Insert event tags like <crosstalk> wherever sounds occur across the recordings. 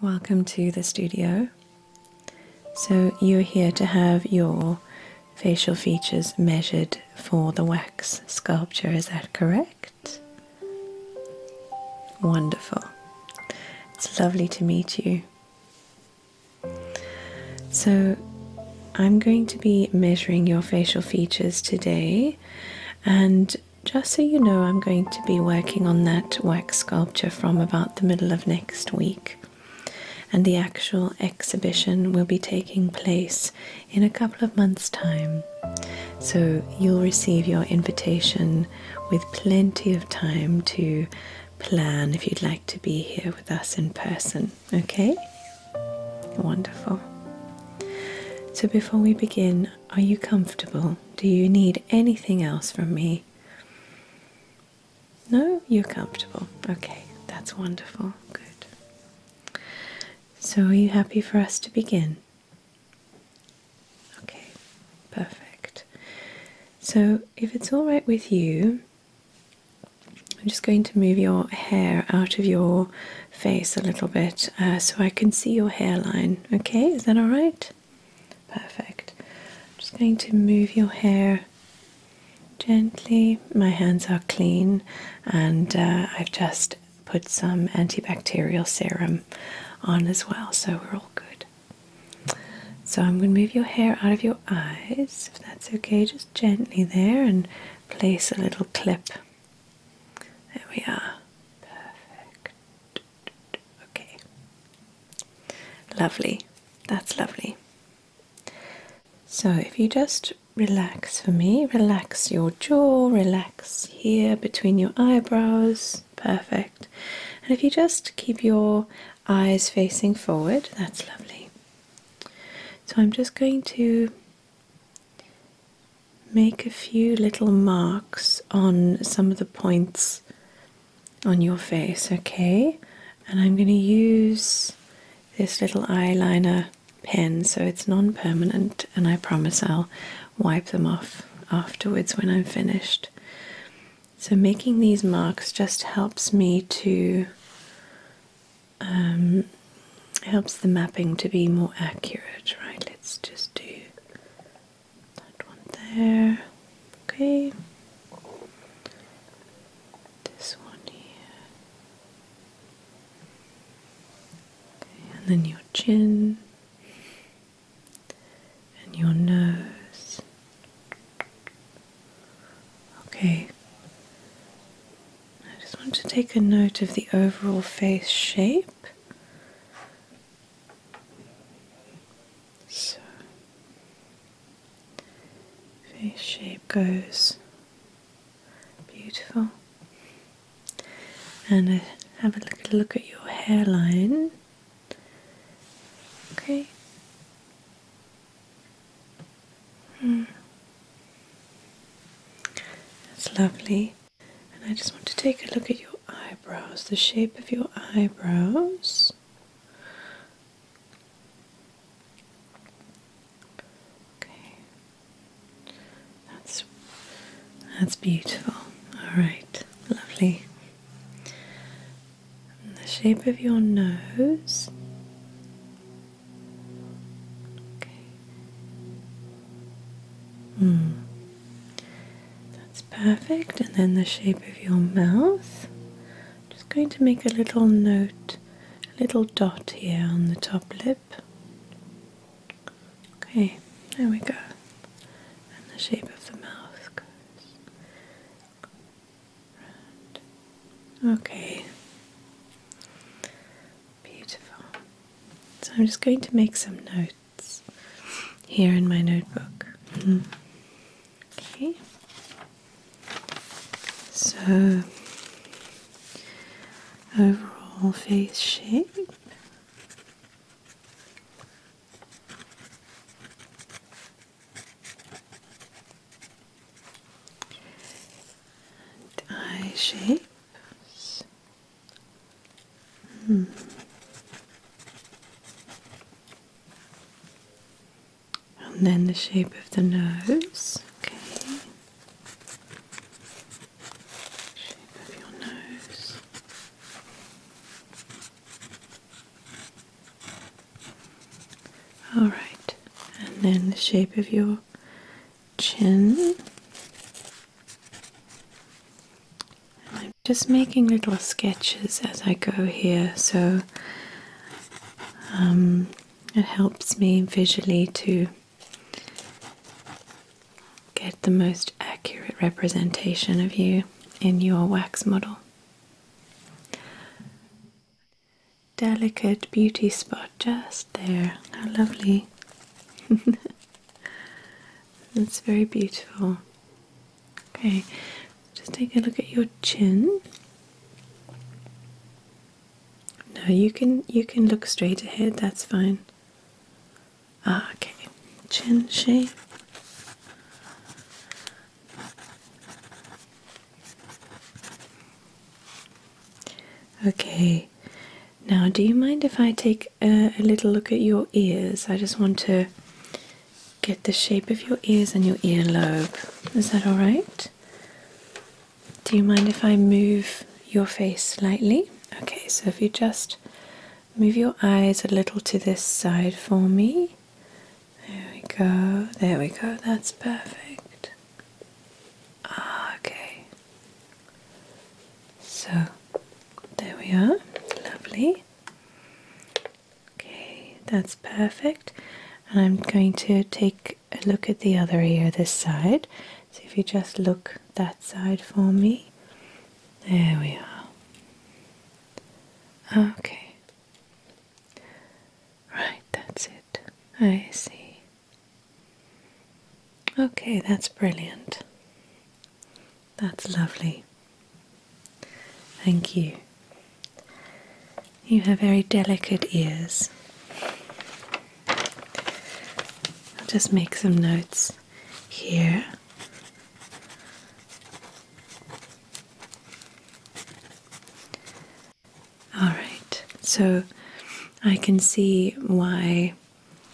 Welcome to the studio. So, you're here to have your facial features measured for the wax sculpture, is that correct? Wonderful. It's lovely to meet you. So, I'm going to be measuring your facial features today, and just so you know, I'm going to be working on that wax sculpture from about the middle of next week, and the actual exhibition will be taking place in a couple of months' time. So, you'll receive your invitation with plenty of time to plan if you'd like to be here with us in person, okay? Wonderful. So, before we begin, are you comfortable? Do you need anything else from me? No, you're comfortable. Okay, that's wonderful. Good. So, are you happy for us to begin? Okay, perfect. So, if it's all right with you, I'm just going to move your hair out of your face a little bit uh, so I can see your hairline. Okay, is that all right? Perfect. I'm just going to move your hair gently. My hands are clean, and uh, I've just put some antibacterial serum on as well, so we're all good. So I'm going to move your hair out of your eyes, if that's okay, just gently there, and place a little clip. There we are. Perfect. Okay. Lovely. That's lovely. So if you just relax for me, relax your jaw, relax here between your eyebrows. Perfect. And if you just keep your eyes facing forward, that's lovely. So I'm just going to Make a few little marks on some of the points on your face, okay? And I'm going to use this little eyeliner pen so it's non permanent, and I promise I'll wipe them off afterwards when I'm finished. So, making these marks just helps me to, um, helps the mapping to be more accurate, right? Let's just do that one there, okay, this one here, and then your chin and your nose, okay. I just want to take a note of the overall face shape. So, face shape goes beautiful. And uh, have a look, look at your hairline. Okay. Hmm. That's lovely. And I just want to take a look at your eyebrows, the shape of your eyebrows. Okay. That's that's beautiful. All right. Lovely. the shape of your nose. Okay. Mm. That's perfect. And then the shape of your mouth. just going to make a little note, a little dot here on the top lip. Okay, there we go. And the shape of the mouth goes round. Okay. Beautiful. So I'm just going to make some notes here in my notebook. Hmm. Okay. So, overall face shape. eye shape. Hmm. And then the shape of the nose. Okay. Shape of your nose. All right. And then the shape of your chin. I'm just making little sketches as I go here, so um, it helps me visually to get the most accurate representation of you in your wax model. Delicate beauty spot just there. How lovely. <laughs> That's very beautiful. Okay, just take a look at your chin. No, you can you can look straight ahead. That's fine. Ah, okay, chin shape. Okay, now, do you mind if I take a, little look at your ears? I just want to get the shape of your ears and your earlobe. Is that all right? Do you mind if I move your face slightly? Okay, so if you just move your eyes a little to this side for me. There we go. There we go. That's perfect. Ah, okay. So there we are, lovely. Okay, that's perfect. And I'm going to take a look at the other ear this side. So if you just look that side for me, there we are. Okay. Right, that's it. I see. Okay, that's brilliant. That's lovely. Thank you. You have very delicate ears. I'll just make some notes here. All right, so I can see why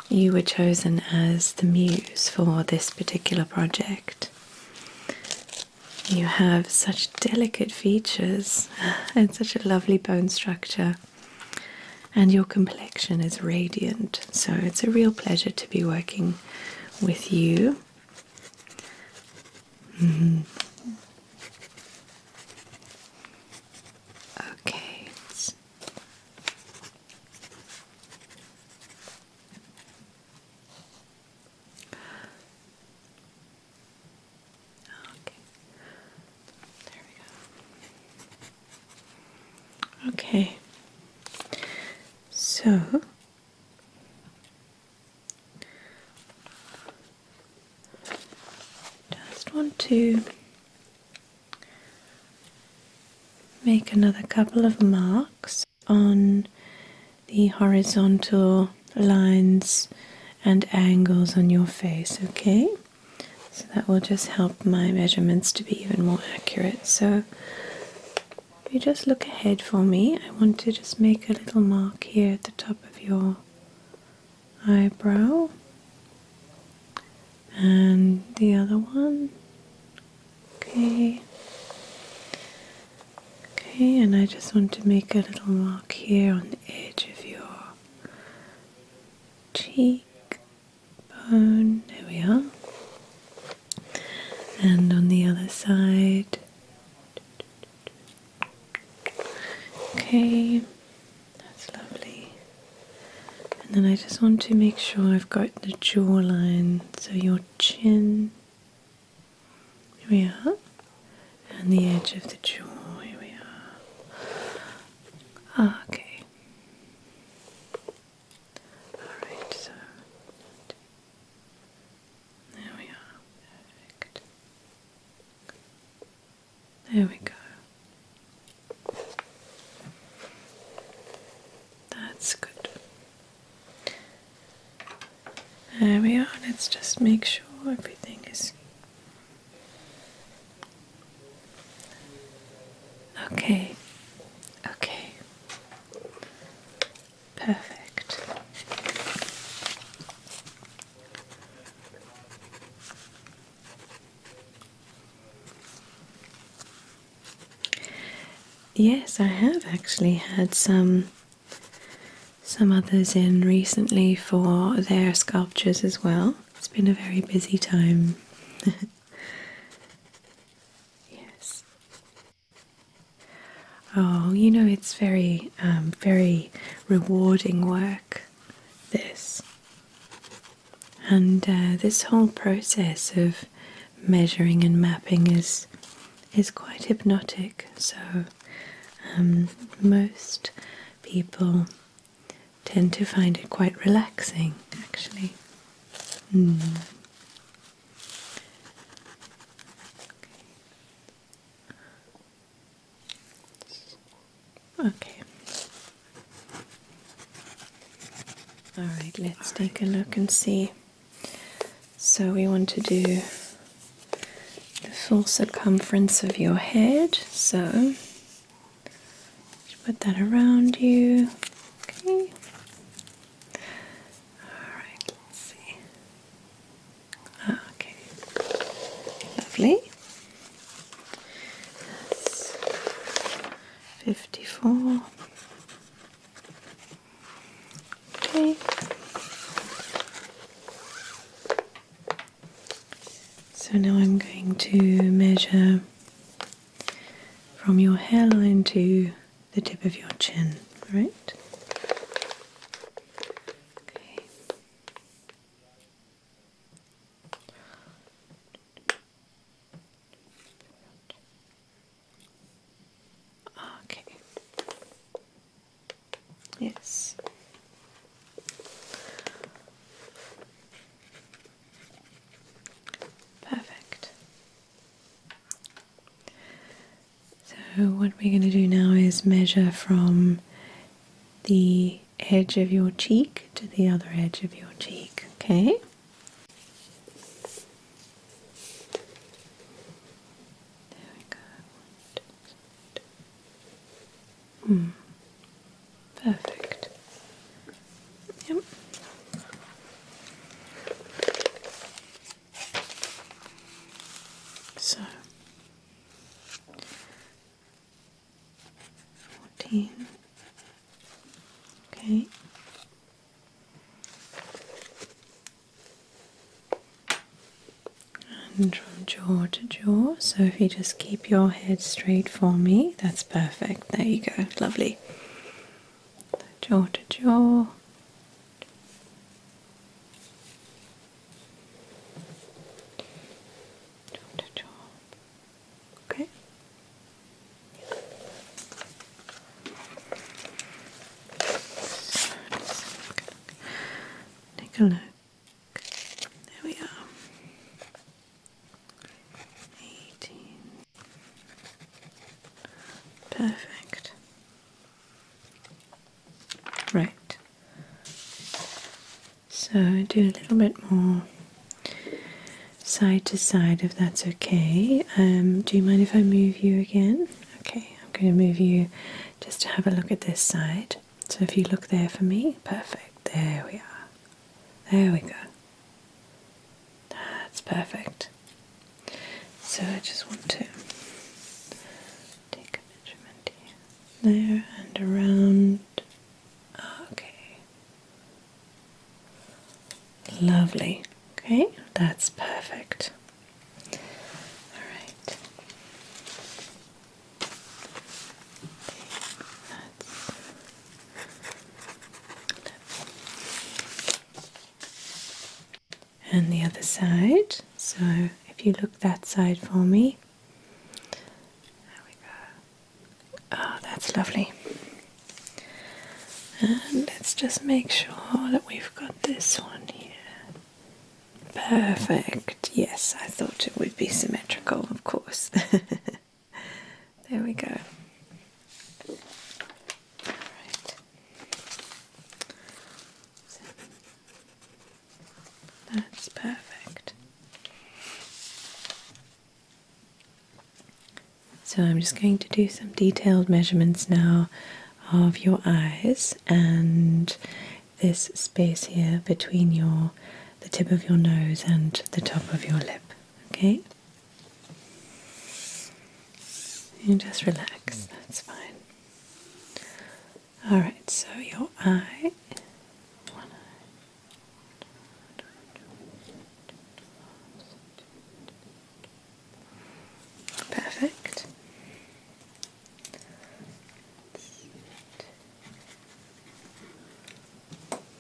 you were chosen as the muse for this particular project. You have such delicate features <laughs> and such a lovely bone structure, and your complexion is radiant, so it's a real pleasure to be working with you. Mm-hmm. Okay, Okay. There we go. Okay. So just want to Make another couple of marks on the horizontal lines and angles on your face, okay? So that will just help my measurements to be even more accurate. So if you just look ahead for me, I want to just make a little mark here at the top of your eyebrow and the other one. Okay. Okay, and I just want to make a little mark here on the edge of your cheek bone. There we are. And on the other side. Okay. That's lovely. And then I just want to make sure I've got the jawline, so your chin. Here we are. And the edge of the jaw. Here we are. Ah, okay. Alright, so. There we are. There we go. That's good. There we are. Let's just make sure everything is okay. Okay. Perfect. Yes, I have actually had some some others in recently for their sculptures as well. It's been a very busy time. <laughs> yes. Oh, you know it's very um, very rewarding work. This and uh, this whole process of measuring and mapping is is quite hypnotic so um, most people tend to find it quite relaxing actually hmm. Okay. All right, let's take a look and see. So we want to do the full circumference of your head. So put that around you. Okay. All right, let's see. Ah, okay. Lovely. That's fifty-four. Okay. So now I'm going to measure from your hairline to the tip of your chin, right? Okay. Okay. Yes. Perfect. So, what we're going to do now is measure from the edge of your cheek to the other edge of your cheek, okay? There we go. Hmm. Perfect. Yep. So fourteen. Okay. And from jaw to jaw. So if you just keep your head straight for me, that's perfect. There you go. Lovely. Jaw to jaw. Jaw to jaw. Okay. Take a look. There we are. Eighteen. Perfect. Right. So do a little bit more side to side if that's okay. Um, do you mind if I move you again? Okay, I'm going to move you just to have a look at this side. So if you look there for me, perfect. There we are. There we go. That's perfect. So I just want to take a measurement here. There and around Okay. Lovely. Okay, that's perfect. All right. And the other side. So if you look that side for me, there we go. Oh, that's lovely. And let's just make sure that we've got this one here. Perfect. Yes, I thought it would be symmetrical, of course. <laughs> there we go. All right. That's perfect. So I'm just going to do some detailed measurements now of your eyes and this space here between your the tip of your nose and the top of your lip. Okay? You just relax, that's fine. Alright, so your eye, Perfect.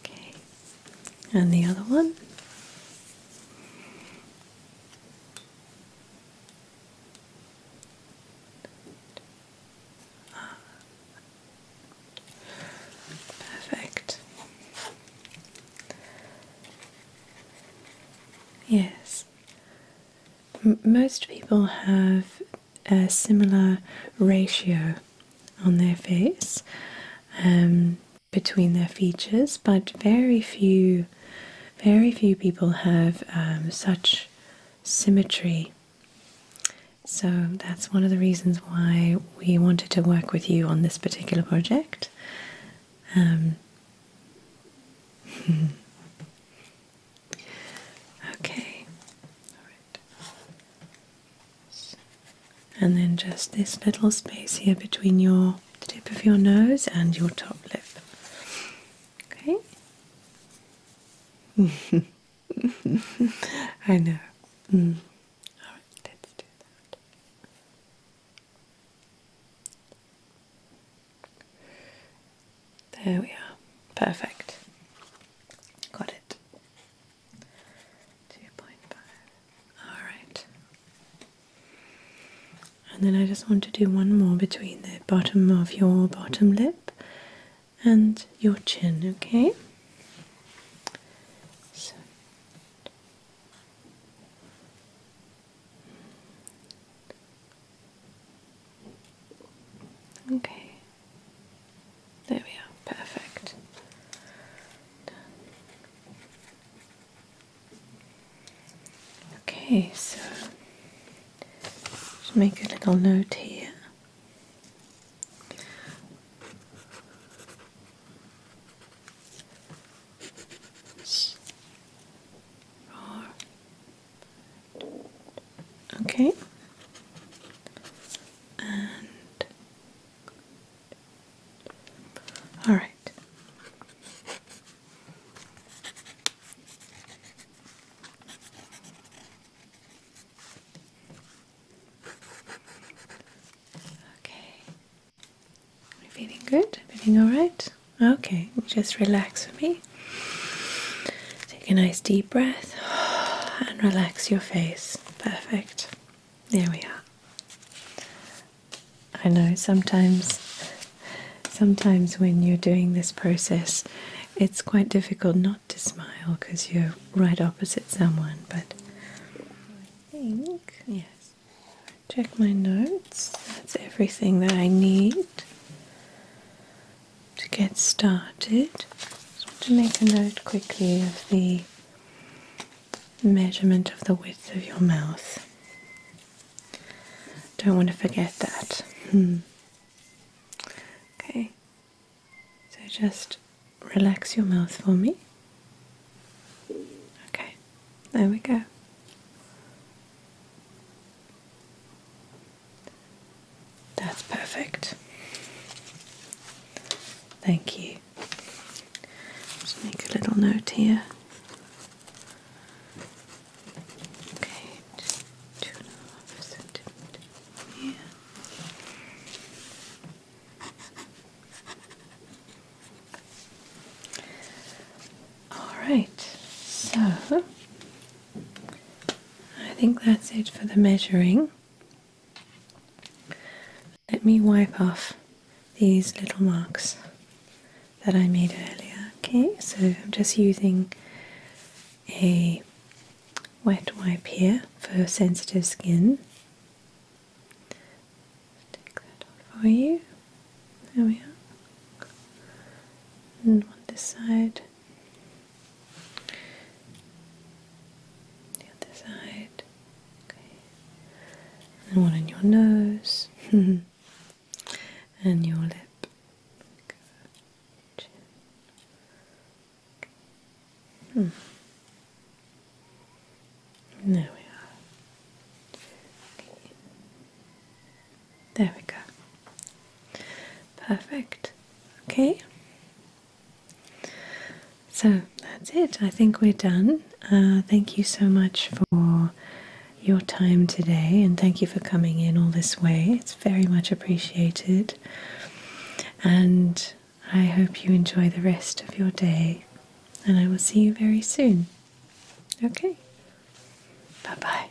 Okay. And the other one. Perfect. Yes. most people have a similar ratio on their face um, between their features, but very few, very few people have um, such symmetry so that's one of the reasons why we wanted to work with you on this particular project. Um, <laughs> okay, And then just this little space here between your tip of your nose and your top lip. Okay. <laughs> <laughs> I know. Mm. All right, let's do that. There we are. Perfect. Got it. 2.5. Alright. And then I just want to do one more between the bottom of your bottom lip and your chin, okay? Okay. There we are. Perfect. Okay, so just make a little note here. Okay. And all right. Okay. feeling good? Feeling alright? Okay, just relax for me. Take a nice deep breath and relax your face. Perfect. There we are. I know sometimes sometimes when you're doing this process it's quite difficult not to smile because you're right opposite someone, but I think, yes. Check my notes. That's everything that I need to get started. to make a note quickly of the measurement of the width of your mouth. Don't want to forget that. Hmm. Okay, so just relax your mouth for me. Okay, there we go. That's perfect. Thank you. Just make a little note here. Okay, yeah. All right, so I think that's it for the measuring. Let me wipe off these little marks that I made earlier. Okay, so I'm just using a wet wipe here for sensitive skin. Take that off for you. There we are. And on this side. The other side. Okay. And one on your nose. <laughs> and your lip. Hmm. There we are. There we go. Perfect. Okay. So that's it. I think we're done. Uh, thank you so much for your time today and thank you for coming in all this way. It's very much appreciated. And I hope you enjoy the rest of your day. And I will see you very soon. Okay. Bye bye.